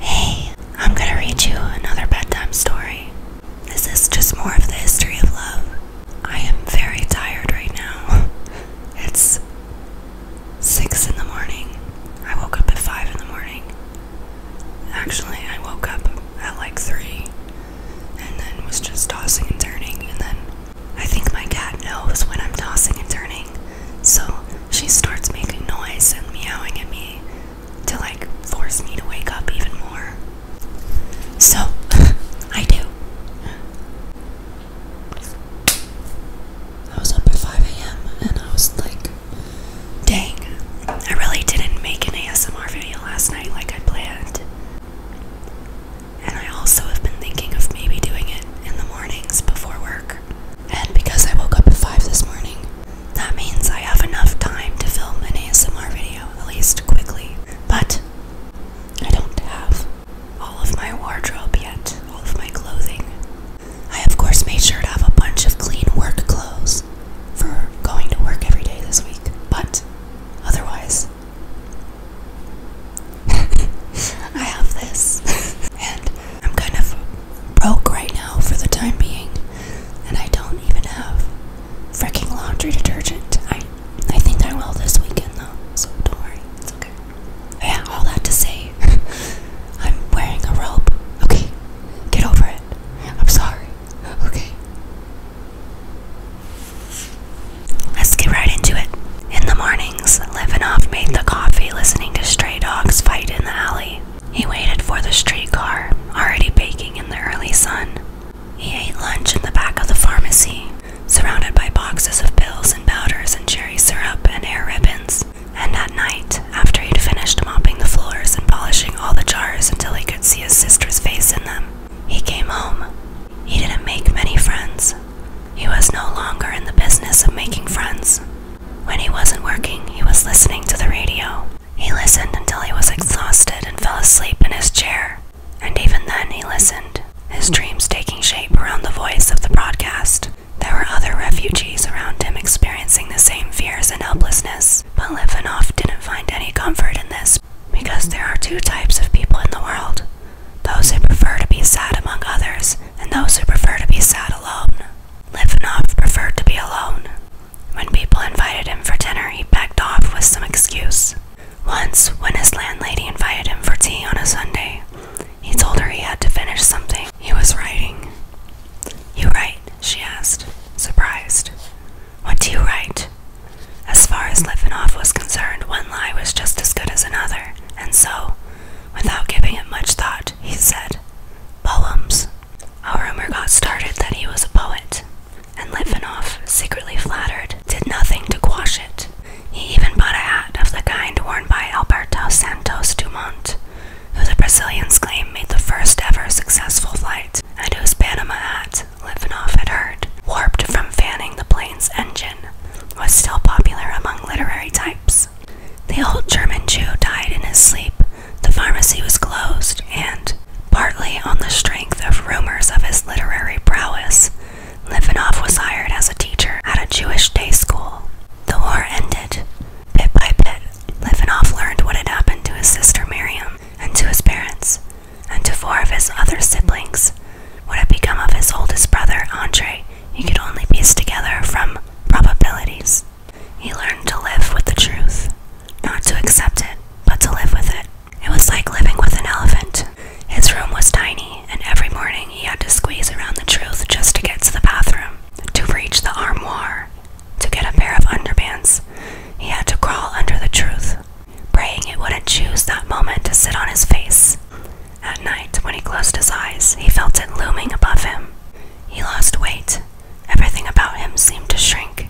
Hey, I'm gonna read you another bedtime story. This is just more of the history of love. I am very tired right now. It's 6 in the morning. I woke up at 5 in the morning. Actually, I woke up at like 3 and then was just tossing and turning. And then I think my cat knows when I'm tossing and turning, so she starts making noise and meowing at me to like force me to wake up even more. So I do. I was up at 5 a.m. and I was like, dang, I really didn't make an ASMR video last night like I planned. And I also have been thinking of maybe doing it in the mornings before work. And because I woke up at 5 this morning, that means I have enough time to film an ASMR video, at least quickly. But I don't have all of my wardrobe yet, all of my clothing. I, of course, made sure to have a bunch of clean work clothes for going to work every day this week, but otherwise, I have this. and I'm kind of broke right now for the time being, and I don't even have freaking laundry detergent. I I think I will this weekend though, so don't worry, it's okay. Oh, yeah, all that to say, I'm wearing a robe. Okay, get over it. I'm sorry. Okay. Let's get right into it. In the mornings, Levinoff made the coffee listening to stray dogs fight in the alley. He waited for the streetcar, already baking in the early sun. He ate lunch in the back of the pharmacy, surrounded by boxes of pills and powders and cherry syrup and hair ribbons. And at night, after he'd finished mopping the floors and polishing all the jars until he could see his sister's face in them, he came home. He didn't make many friends. He was no longer in the business of making friends. When he wasn't working, he was listening to the radio. He listened until he was exhausted and fell asleep in his chair. And even then, he listened, his dreams taking shape around the voice of the broadcast. There were other refugees around him experiencing the same fears and helplessness, but Livanov didn't find any comfort in this because there are two types of people in the world those who prefer to be sad among others, and those who prefer to be sad alone. Livanov preferred to be alone. When people invited him for dinner, he backed off with some excuse. Once, when his landlady invited him for tea on a Sunday, he told her he had to finish something he was writing. You write? she asked, surprised. What do you write? As far as Livanov was concerned, one lie was just as good as another, and so, without giving it much thought, he said, Poems. A rumor got started that he was a poet, and Litvinov, secretly flattered, did nothing to quash it. He even bought a hat of the kind worn by Alberto Santos Dumont, who the Brazilians claim made the first ever successful flight, and whose Panama hat, Litvinov had heard, warped from fanning the plane's engine, was still popular among literary types. The old German Jew died in his sleep the pharmacy was closed, and, partly on the strength of rumors of his literary prowess, Livanov was hired as a teacher at a Jewish day school. The war ended. Bit by bit, Livanov learned what had happened to his sister Miriam, and to his parents, and to four of his other siblings. What had become of his oldest brother, Andre, he could only piece together from probabilities. He learned to live with the truth, not to accept it, but to live with it. It was like living with an elephant. His room was tiny, and every morning he had to squeeze around the truth just to get to the bathroom, to reach the armoire, to get a pair of underpants. He had to crawl under the truth, praying it wouldn't choose that moment to sit on his face. At night, when he closed his eyes, he felt it looming above him. He lost weight, Everything about him seemed to shrink,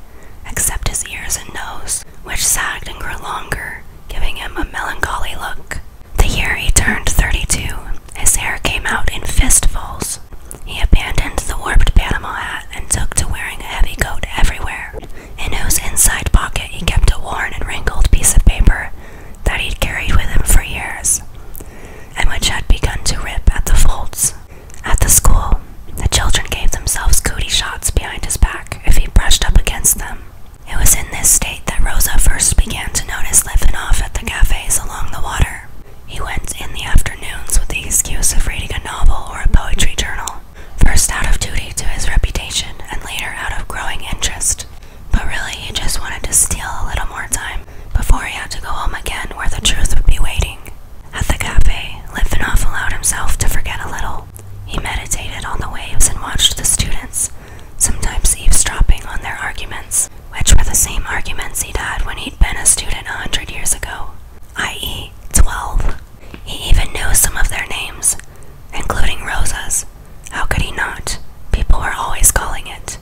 except his ears and nose, which sagged and grew longer, giving him a melancholy look. The year he turned thirty-two, his hair came out in fistfuls. He abandoned the warped Panama hat and took to wearing a heavy coat everywhere, in whose inside pocket he kept a worn and wrinkled piece of paper that he'd carried with him for years, and which had begun to rip at the folds. At the school, the children gave themselves cootie shots behind his back if he brushed up against them. It was in this state that Rosa first began to notice Lifinoff at the cafes along the water. He went in the afternoons with the excuse of reading a novel or a poetry journal, first out of duty to his reputation and later out of growing interest. But really, he just wanted to steal a little more time before he had to go home again where the truth would be waiting. At the cafe, Litvinov allowed himself to forget a little. He meditated on the waves and watched the students, sometimes eavesdropping on their arguments, which were the same arguments he'd had when he'd been a student a hundred years ago, i.e., 12. He even knew some of their names, including Rosa's. How could he not? People were always calling it.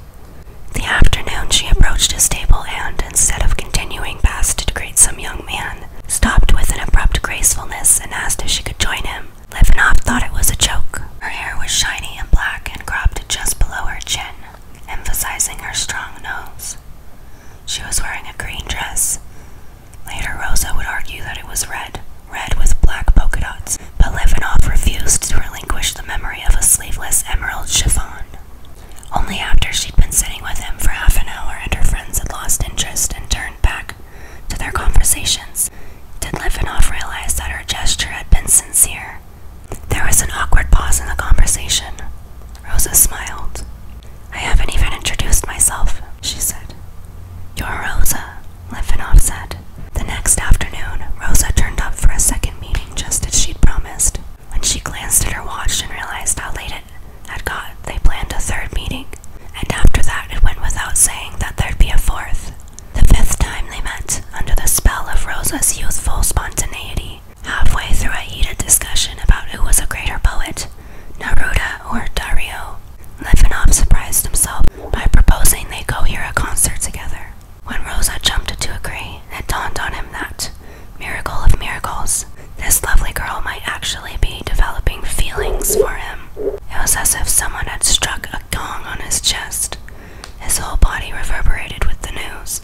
The afternoon she approached his table and, instead of continuing past to greet some young man, stopped with an abrupt gracefulness and asked if she could join him. Livanov thought it was a joke. Her hair was shiny and black and cropped just below her chin, emphasizing her strong nose. She was wearing a green dress. Later, Rosa would argue that it was red, red with black polka dots, but Livanov refused to relinquish the memory of a sleeveless emerald chiffon. Only after she'd been sitting with him for half an hour and her friends had lost interest and turned back to their conversations did Lifinoff realize that her gesture had been sincere. There was an awkward pause in the conversation. Rosa smiled. I haven't even introduced myself, she said. You're Rosa, Lifinoff said. The next afternoon, Rosa turned up for a second meeting just as she'd promised. When she glanced at her watch and realized how late it had got, they planned a third meeting, and after that it went without saying that there'd be a fourth. The fifth time they met, under the spell of Rosa's youthful spontaneity, halfway through a heated discussion about who was a greater poet, Naruda or Dario, Livanov surprised himself by proposing they go hear a concert together. When Rosa jumped to agree, it dawned on him that, miracle of miracles, this lovely girl might actually be developing feelings for him. It was as if someone had struck a gong on his chest. His whole body reverberated with the news.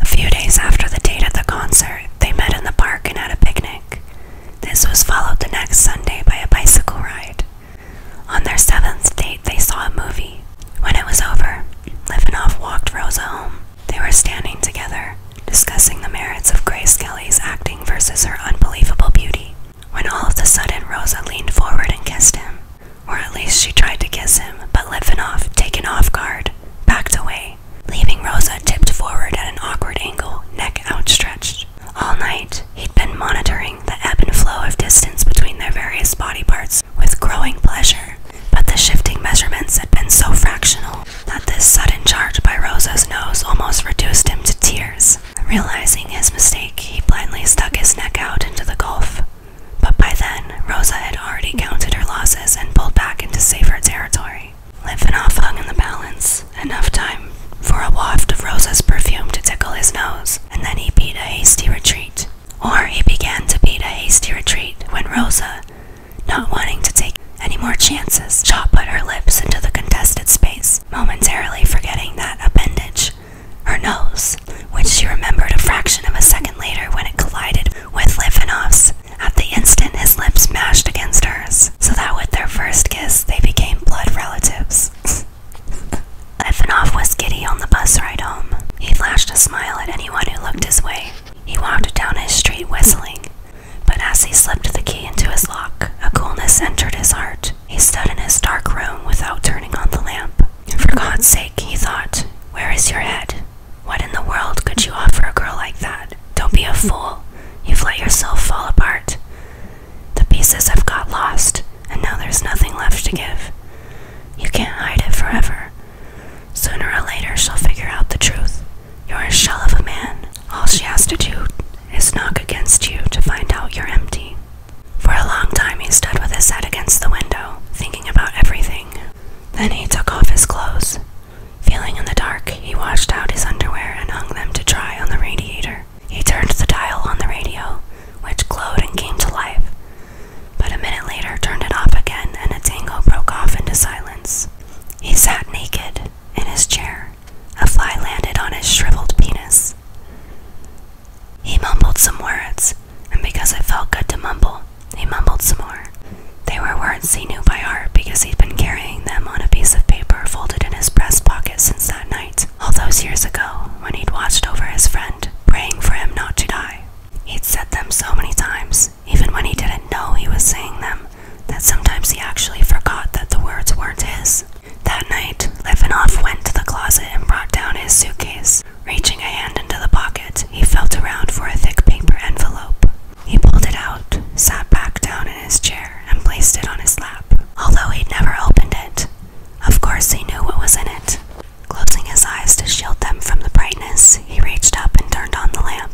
A few days after the date of the concert, they met in the park and had a picnic. This was followed the next Sunday by a bicycle ride. On their seventh date, they saw a movie. When it was over, Livenoff walked Rosa home. They were standing together, discussing the merits of Grace Kelly's acting versus her unbelievable beauty, when all of a sudden Rosa leaned forward and kissed him. Or at least she tried to kiss him, but Litvinov, taken off guard, backed away, leaving Rosa tipped forward at an awkward angle, neck outstretched. All night, he'd been monitoring the ebb and flow of distance between their various body parts with growing pleasure. But the shifting measurements had been so fractional that this sudden charge by Rosa's nose almost reduced him to tears. Realizing his mistake, he blindly stuck his neck out into the gulf. But by then, Rosa had already counted her losses and pulled back into safer territory. Litvinov hung in the balance, enough time for a waft of Rosa's perfume to tickle his nose, and then he beat a hasty retreat. Or he began to beat a hasty retreat when Rosa, not wanting to take any more chances, Shaw put her lips into the contested space, momentarily forgetting that appendage, her nose, which she remembered a fraction of a second later when it collided with Livanov's. At the instant his lips mashed against hers, so that with their first kiss they became blood relatives. Ivanov was giddy on the bus ride home. He flashed a smile at anyone who looked his way, he walked down his street whistling, but as he slipped the key into his lock, a coolness entered his heart. He stood in his dark room without turning on the lamp. For God's sake, he thought, where is your head? What in the world could you offer a girl like that? Don't be a fool. You've let yourself fall apart. The pieces have got lost, and now there's nothing left to give. You can't hide it forever. Sooner or later, she'll figure out the truth. You're a shell of a man. All she has to do is knock against you to find out you're empty. For a long time he stood with his head against the window, thinking about everything. Then he took off his clothes. Feeling in the dark, he washed out his underwear and hung them to dry on the radiator. He turned the dial on the radio, which glowed and came to life, but a minute later turned it off again and a tango broke off into silence. He sat naked in his chair. A fly landed on his shriveled penis. He mumbled some words, and because it felt good to mumble, he mumbled some more. They were words he knew by heart because he'd been carrying them on a piece of paper folded in his breast pocket since that night, all those years ago when he'd watched over his friend, praying for him not to die. He'd said them so many times, even when he didn't know he was saying them, that sometimes he actually forgot that the words weren't his. That night, Levinoff went to the closet and brought down his suitcase. Reaching a hand into the pocket, he felt around for a thick paper envelope. He pulled it out, sat back down in his chair, and placed it on his lap, although he never opened it. Of course, he knew what was in it. Closing his eyes to shield them from the brightness, he reached up and turned on the lamp.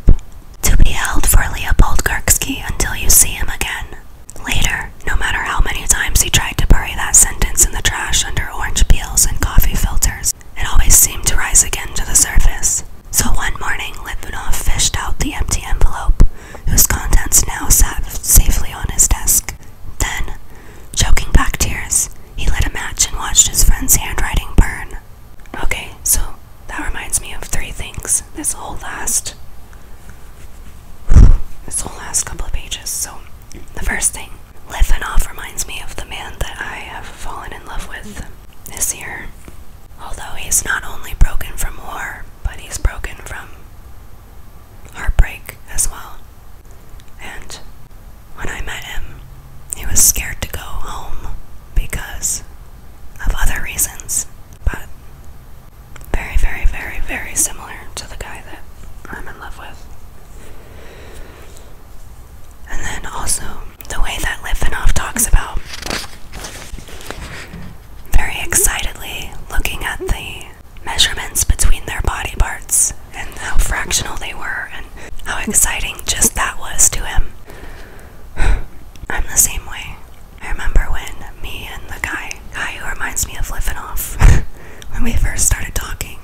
To be held for Leopold Gursky until you see him again. Later, no matter how many times he tried to bury that sentence in the trash under orange peels and coffee filters, it always seemed to rise again to the surface. So one morning, Litvinov fished out the empty envelope, whose contents now sat safely on his desk. Then, choking back tears, he lit a match and watched his friend's handwriting burn. Okay, so that reminds me of three things. This whole last this whole last couple of pages. So the first thing, Lifanov reminds me of the man that I have fallen in love with this year. Although he's not only broken from war, but he's broken from heartbreak as well. And when I met him, he was scared to go home because of other reasons, but very, very, very, very similar to the guy that I'm in love with. And then also the way that Lifanov talks about very excitedly looking at the measurements between their body parts and how fractional they were and how exciting just that was to him. I'm the same way. I remember when me and the guy, guy who reminds me of Liffinoff, when we first started talking,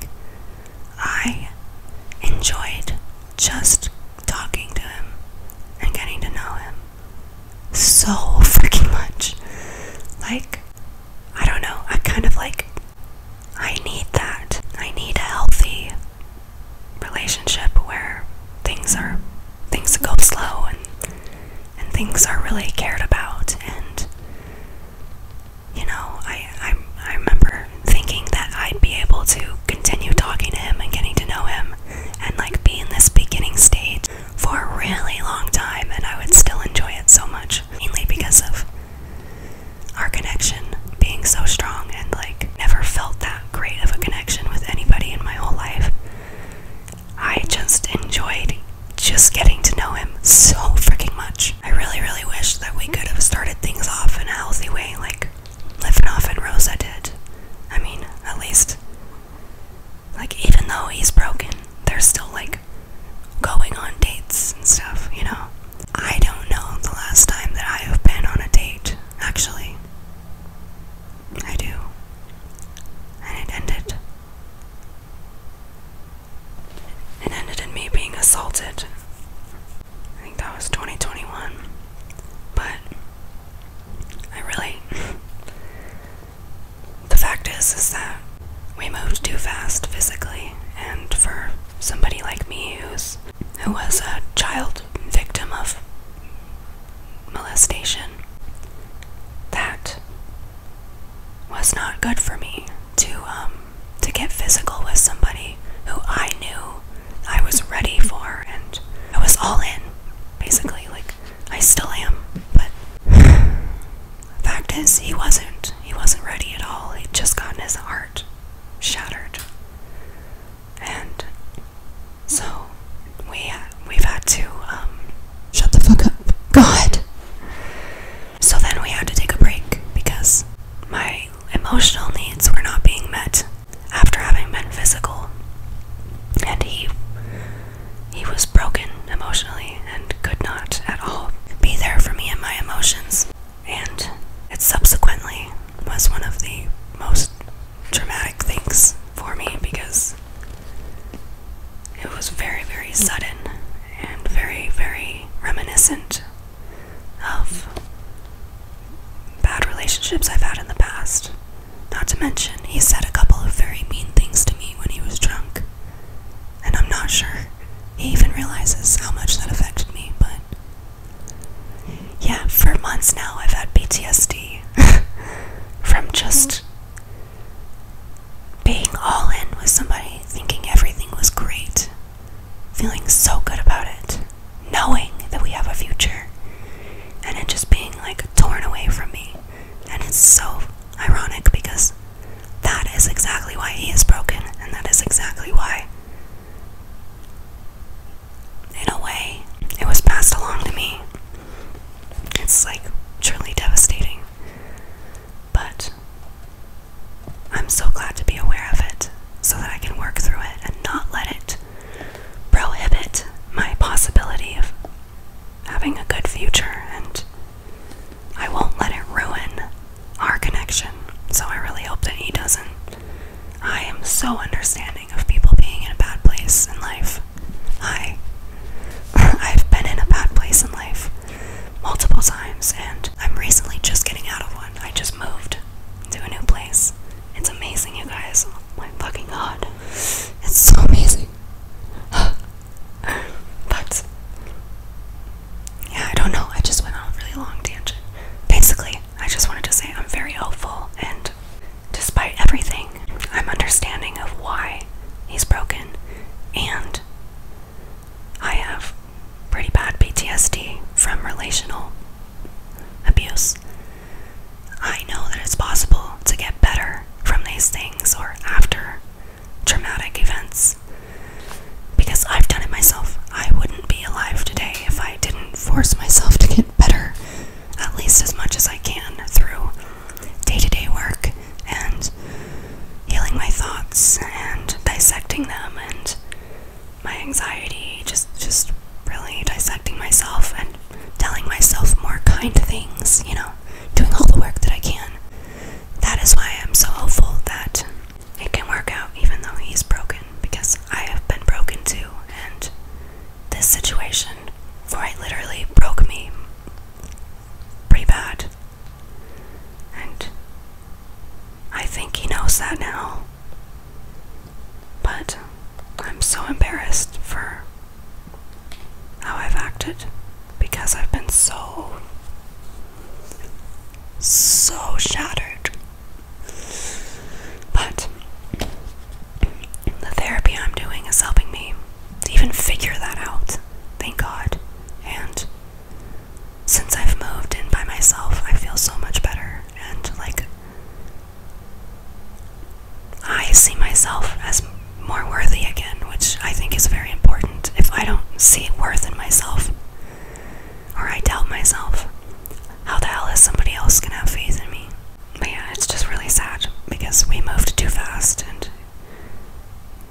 I enjoyed just talking to him and getting to know him so freaking much. Like, I don't know, I kind of like, I need that. I need a healthy relationship where things are things go slow and and things are really cared about and you know I, I I remember thinking that I'd be able to continue talking to him and getting to know him and like be in this beginning stage for a really long time and I would still enjoy it so much mainly because of our connection being so strong and like never felt that great of a connection with anybody in my whole life. I just enjoyed just getting to know him so freaking much. I really, really wish that we could have started things off in a healthy way, like Lifnoff and Rosa did. I mean, at least, like, even though he's broken, they're still like going on dates and stuff, you know? I don't know the last time that I have been on a date, actually. I do. And it ended. It ended in me being assaulted. I think that was 2021. But I really. the fact is, is that we moved too fast physically, and for somebody like me who's who was a child victim of molestation. That was not good for me to um to get physical with somebody who I knew I was ready for and I was all in basically like I still am but the fact is he wasn't he wasn't ready at all he'd just gotten his heart shattered and so we we've had to um, shut the fuck up. God. So then we had to take a break because my emotional needs were not being met after having been physical, and he he was broken emotionally and could not at all be there for me and my emotions. And it subsequently was one of the most dramatic things for me because it was very, very sudden and very, very reminiscent of bad relationships I've had in the past. Not to mention, he said a couple of very mean things to me when he was drunk, and I'm not sure he even realizes how much that affected me, but yeah, for months now I've had PTSD from just being all in with somebody, thinking everything was great, feeling so good about it, knowing that we have a future, and it just being like torn away from me. And it's so ironic because that is exactly why he is broken, and that is exactly why in a way, it was passed along to me. It's like truly devastating. But I'm so glad to be aware of it so that I can work through it and not let it prohibit my possibility of having a good future. And I won't let it ruin our connection. So I really hope that he doesn't. I am so understanding of people being in a bad place in life. I I've been in a bad place in life multiple times and I'm recently just getting out of one. I just moved to a new place. It's amazing you guys. Oh fucking god. It's so amazing. but yeah, I don't know. I just went on a really long tangent. Basically, I just wanted to say I'm very hopeful and Despite everything, I'm understanding of why he's broken, and I have pretty bad PTSD from relational abuse. I know that it's possible to get better from these things or after traumatic events because I've done it myself. I wouldn't be alive today if I didn't force myself to get better at least as much as I can through day to day work and healing my thoughts and dissecting them and my anxiety, just, just really dissecting myself and telling myself more kind things, you know, doing all the work that I can. That is why I'm so hopeful that it can work out even though he's broken because I have been broken too and this situation, for it literally broke me pretty bad. And I think he knows that now. But I'm so embarrassed for how I've acted because I've been so, so shattered. But the therapy I'm doing is helping me even figure that out, thank God. And since I've moved in by myself, I feel so much better. And like, I see myself as more worthy again, which I think is very important. If I don't see worth in myself, or I doubt myself, how the hell is somebody else gonna have faith in me? But yeah, it's just really sad because we moved too fast and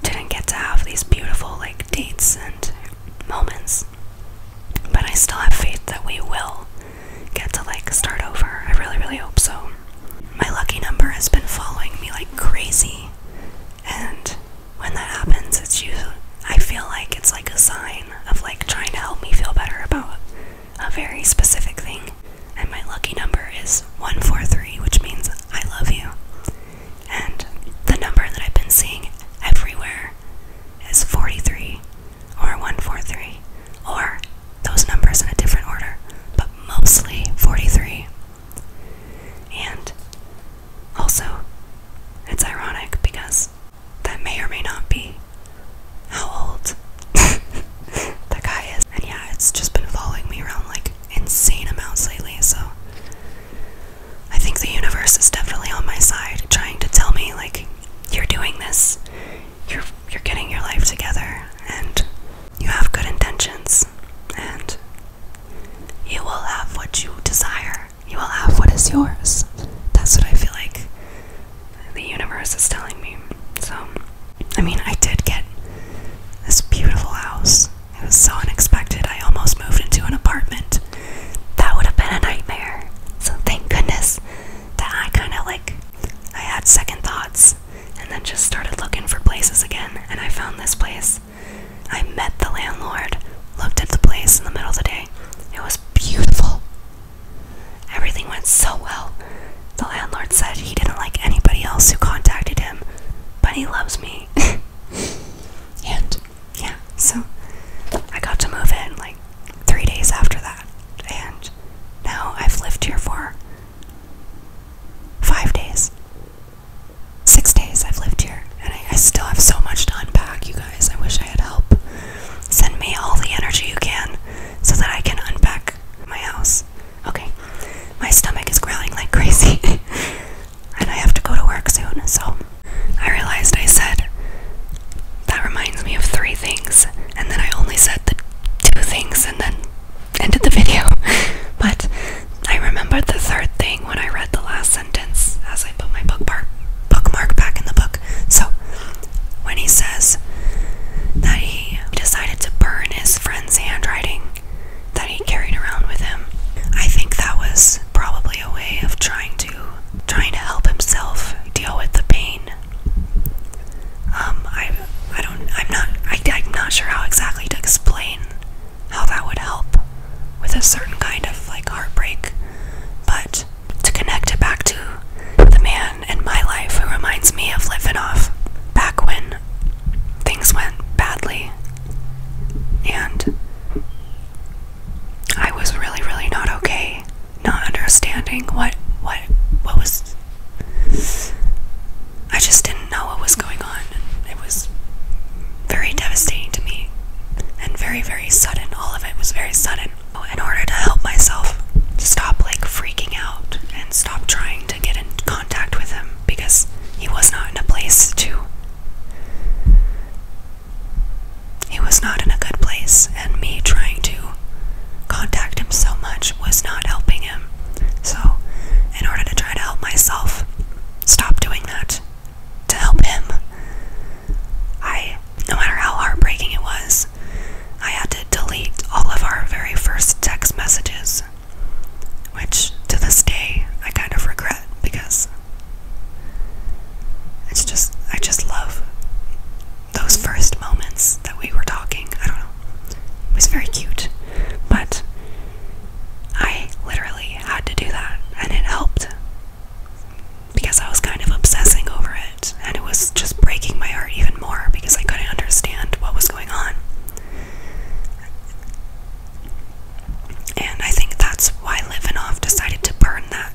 didn't get to have these beautiful like dates and moments. But I still have faith that we will get to like start over. I really, really hope so. My lucky number has been following me like crazy, and when that happens, it's usually I feel like it's like a sign of like trying to help me feel better about a very specific thing. And my lucky number is 143, which means I love you. And the number that I've been seeing everywhere is 43 or 143 or those numbers in a different order, but mostly 43. And also, it's ironic because that may or may not be how old the guy is. And yeah, it's just been following me around like insane amounts lately, so I think the universe is definitely on my side, trying to tell me like you're doing this, you're you're getting your life together, and you have good intentions, and you will have what you desire. You will have what is yours. That's what I feel like the universe is telling me. So, I mean, I did get this beautiful house. It was so unexpected. I almost moved into an apartment. That would have been a nightmare. So, thank goodness that I kind of like, I had second thoughts and then just started looking for places again. And I found this place. I met the landlord, looked at the place in the middle of the day. It was beautiful. Everything went so well. The landlord said he didn't like anybody else who contacted him, but he loves me. and yeah, so I got to move in like three days after that, and now I've lived here for five days. Six days I've lived here, and I, still have so much to unpack, you guys. I wish I had help. Send me all the energy you can so that I can unpack my house. Okay, my stomach is growling like crazy, and I have to go to work soon. So I realized I said that reminds me of three things, and then I only said the two things, and then ended the video. but I remembered the third thing when I read the last sentence as I put my bookmark bookmark back in the book. So when he says that he decided to burn his friend's handwriting that he carried around with him. I think that was probably a way of trying to trying to help himself deal with the pain. Um, I I don't I'm not I, I'm not sure how exactly to explain how that would help with a certain kind of like heartbreak, but to connect it back to the man in my life who reminds me of living off back when things went badly. And I was really, really not okay, not understanding what what what was I just didn't know what was going on. It was very devastating to me and very, very sudden. All of it was very sudden. In order to help myself stop like freaking out and Stop trying to get in contact with him because he was not in a place to. He was not in a good place, and me trying to contact him so much was not helping him. So, in order to try to help myself stop doing that to help him, I, no matter how heartbreaking it was, I had to delete all of our very first text messages, which to this day I kind of regret because it's just, I just love those first moments that we were talking. I don't know. It was very cute, but I literally had to do that and it helped because I was kind of obsessing over it and it was just breaking my heart even more because I couldn't understand what was going on. And I think that's why Livinoff decided to burn that,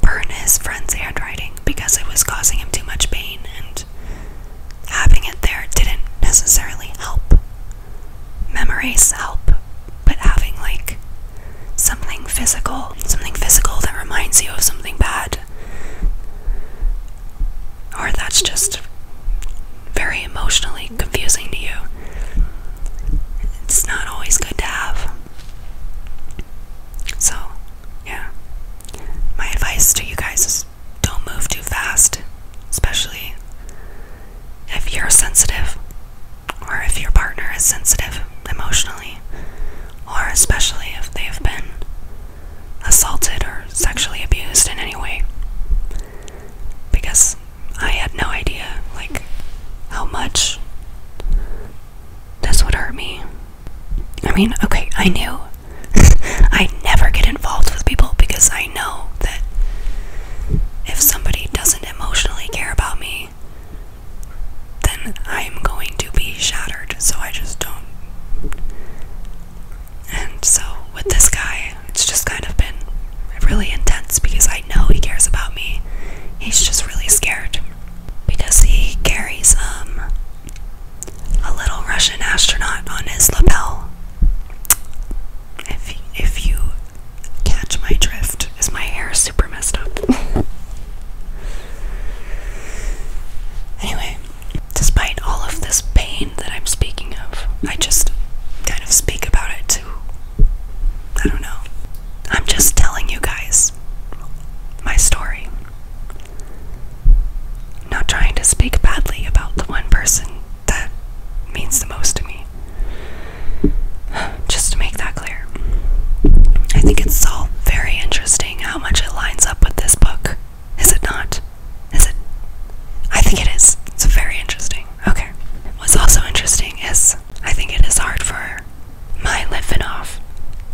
burn his friend's handwriting because it was causing him too much pain, and having it there didn't necessarily help. Memories help, but having like something physical, something physical that reminds you of something bad, or that's just very emotionally confusing to you. It's not always good to have. So, yeah. My advice to you guys is don't move too fast, especially if you're sensitive or if your partner is sensitive emotionally, or especially if they've been assaulted or sexually abused in any way because I had no idea like how much this would hurt me. I mean, okay, I knew I never get involved with people because I know that if somebody doesn't emotionally care about me, then I'm going to be shattered. So I just don't and so with this guy, it's just kind of been really intense because I know he cares about me. He's just really scared because he carries um a little Russian astronaut on his lapel. If if you catch my drift, is my hair super messed up? anyway, Despite all of this pain that I'm speaking of, I just kind of speak about it to. I don't know. I'm just telling you guys my story. Not trying to speak badly about the one person that means the most to me. Just to make that clear. I think it's all very interesting how much it lines up with this book, is it not? Is it? I think it is. It's very interesting. Okay. What's also interesting is I think it is hard for my Litvinov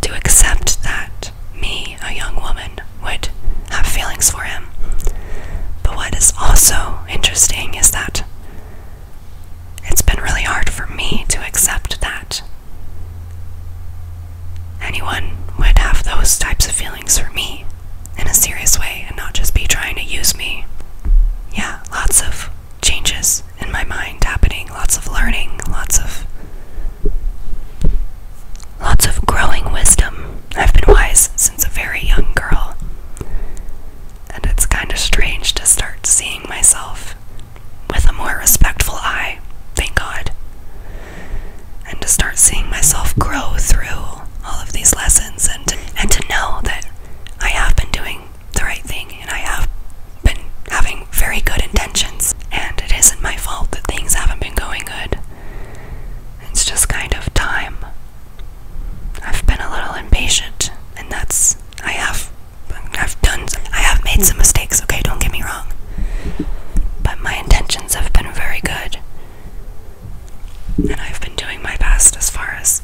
to accept that me, a young woman, would have feelings for him. But what is also interesting is that it's been really hard for me to accept that anyone would have those types of feelings for me in a serious way and not just be trying to use me. Yeah, lots of changes in my mind happening, lots of learning, lots of lots of growing wisdom. I've been wise since a very young girl. And it's kind of strange to start seeing myself with a more respectful eye. Thank God and to start seeing myself grow through all of these lessons and to, and to know that I have been doing the right thing and I have been having very good intentions and it isn't my fault that things haven't been going good. It's just kind of time. I've been a little impatient and that's I have I've done I have made some mistakes, okay, don't get me wrong. But my intentions have been very good. And I've been doing my best as far as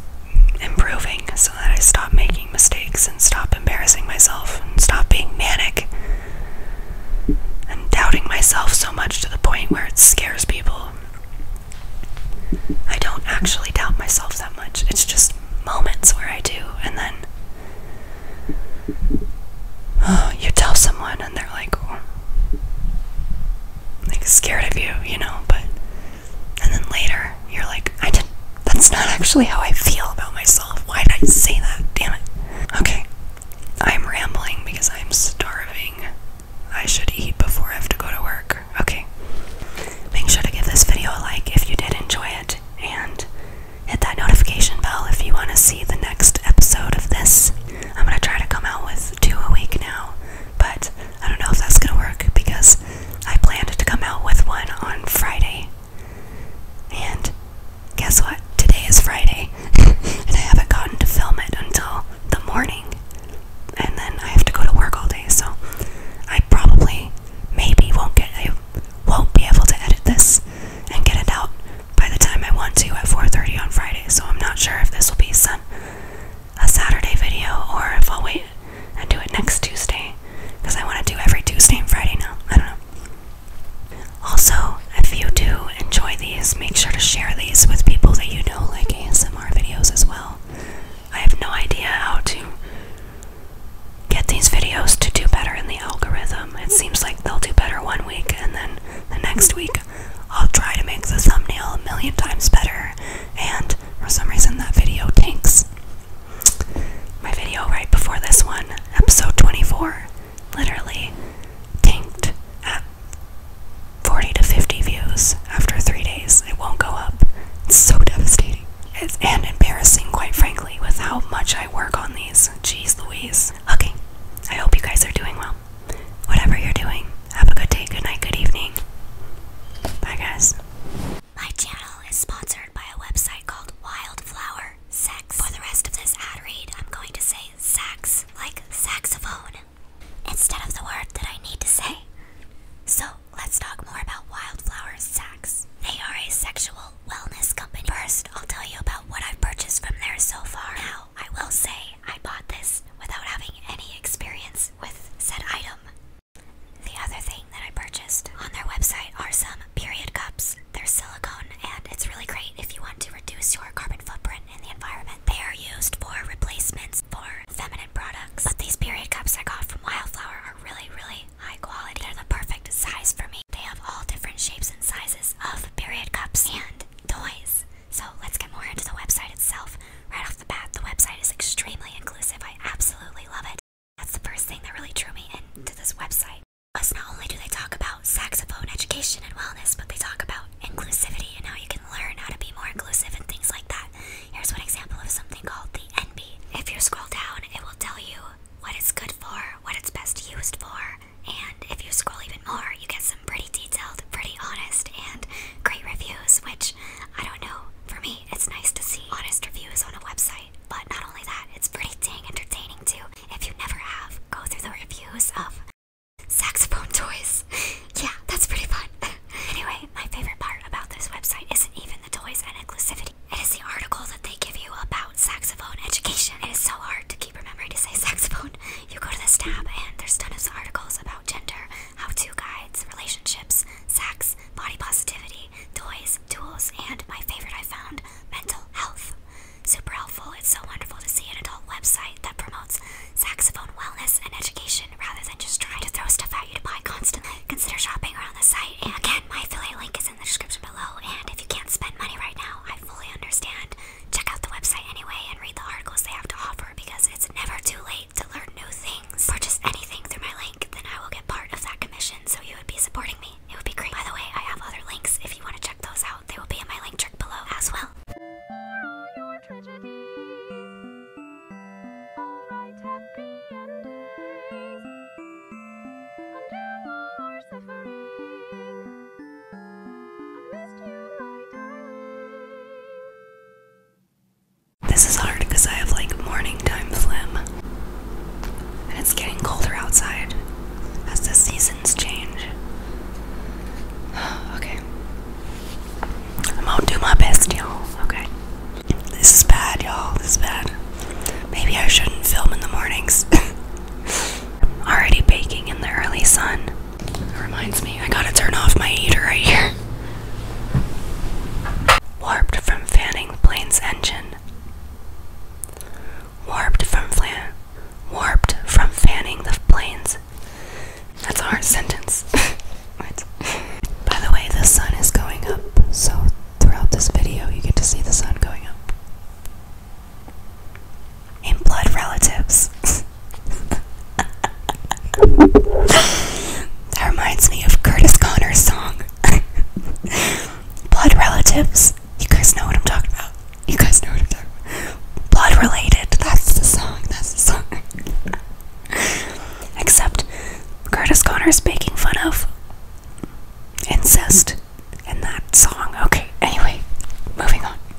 improving so that I stop making mistakes and stop embarrassing myself and stop being manic and doubting myself so much to the point where it scares people. I don't actually doubt myself that much, it's just moments where I do, and then you tell someone and they're like oh, like scared of you, you know, but and then later you're like, I didn't that's not actually how I feel about myself. Why did I say that? Damn it. Okay. I'm rambling because I'm starving. I should eat before I have to go to work. Okay. Make sure to give this video a like if you did enjoy it and hit that notification bell if you want to see the next episode of this. I'm gonna try to come out with two a week now, but I don't know if that's gonna work because I planned to come out with one on Friday. And guess what? Today is Friday, and I haven't gotten to film it until the morning. And then I have to go to work all day, so I probably, maybe, won't get, I won't be able to edit this and get it out by the time I want to at 4:30 on Friday. So I'm not sure if this will be a Saturday video or if I'll wait and do it next Tuesday because I want to do every Tuesday and Friday now. I don't know. Also, if you do enjoy these, make sure to share these with people that you know like ASMR videos as well. I have no idea how to get these videos to do better in the algorithm. It seems like they'll do better one week and then the next week I'll try to make the thumbnail a million times better, and for some reason that video tanks. My video right before this one, episode 24, literally tanked at 40 to 50 views after three days. It won't go up. It's so devastating. It's, and embarrassing, quite frankly, with how much I work on these. Jeez Louise. Okay, I hope you guys are doing well whatever you're doing, have a good day, good night, good evening. Bye, guys. My channel is sponsored by a website called Wildflower Sex. For the rest of this ad read, I'm going to say sax, like saxophone, instead of the word that I need to say. So, let's talk more about Wildflower Sax. They are a sexual wellness company. First, I'll tell you about what I've purchased from there so far. I will say I bought this without having any experience with said item. The other thing that I purchased on their website are some period cups. They're silicone and it's really great if you want to reduce your carbon footprint in the environment. They are used for replacements for feminine products. But these period cups I got from Wildflower are really, really high quality. They're the perfect size for me. They have all different shapes and sizes of period cups and toys. So let's get more into the website itself. Right off the bat, the website is extremely inclusive. I absolutely love it. That's the first thing that really drew me into this website. Was not only do they talk about saxophone education and wellness, but they talk about inclusivity and how you can learn how to be more inclusive and things like that. Here's one example of something called the NB. If you scroll down, it will tell you what it's good for, what it's best used for, and if you scroll even more, you get some pretty detailed, pretty honest, and great reviews, which I don't know. For me, it's nice to see honest reviews on a website. But not only that, it's pretty dang entertaining too. If you never have, go through the reviews of saxophone toys. yeah, that's pretty fun. anyway, my favorite part about this website isn't even the toys and inclusivity. It is the article that they give you about saxophone education. It is so hard to keep remembering to say saxophone. You go to this tab, and there's tons of articles about gender, how-to guides, relationships, sex, body positivity, toys, tools, and my favorite I found, mental health. Super helpful. It's so wonderful to see an adult website that promotes saxophone wellness and education rather than just trying to throw stuff at you to buy constantly. Consider shopping around the site. And again, my affiliate link is in the description below. And if you can't spend money right now, I fully understand check out the website anyway and read the articles they have to offer because it's never too late to learn new things. Purchase anything through my link, then I will get part of that commission, so you would be supporting me. It would be great. By the way, I have other links if you want to check those out. They will be in my link trick below as well. This is hard because I have like morning time flim, And it's getting colder outside as the seasons change. okay. I'm gonna do my best, y'all. Okay. This is bad, y'all. This is bad. Maybe I shouldn't film in the mornings. Already baking in the early sun. That reminds me, I gotta turn off my heater right here. Warped from fanning the plane's engine. Warped from flan. Warped from fanning the planes. That's our sentence. By the way, the sun is going up, so throughout this video, you get to see the sun going up and blood relatives. that reminds me of Curtis Connor's song. blood relatives. You guys know what I'm talking about. You guys know what I'm talking about. Blood related. That's the song. That's the song. Except Curtis Connor's making fun of incest in that song. Okay, anyway, moving on.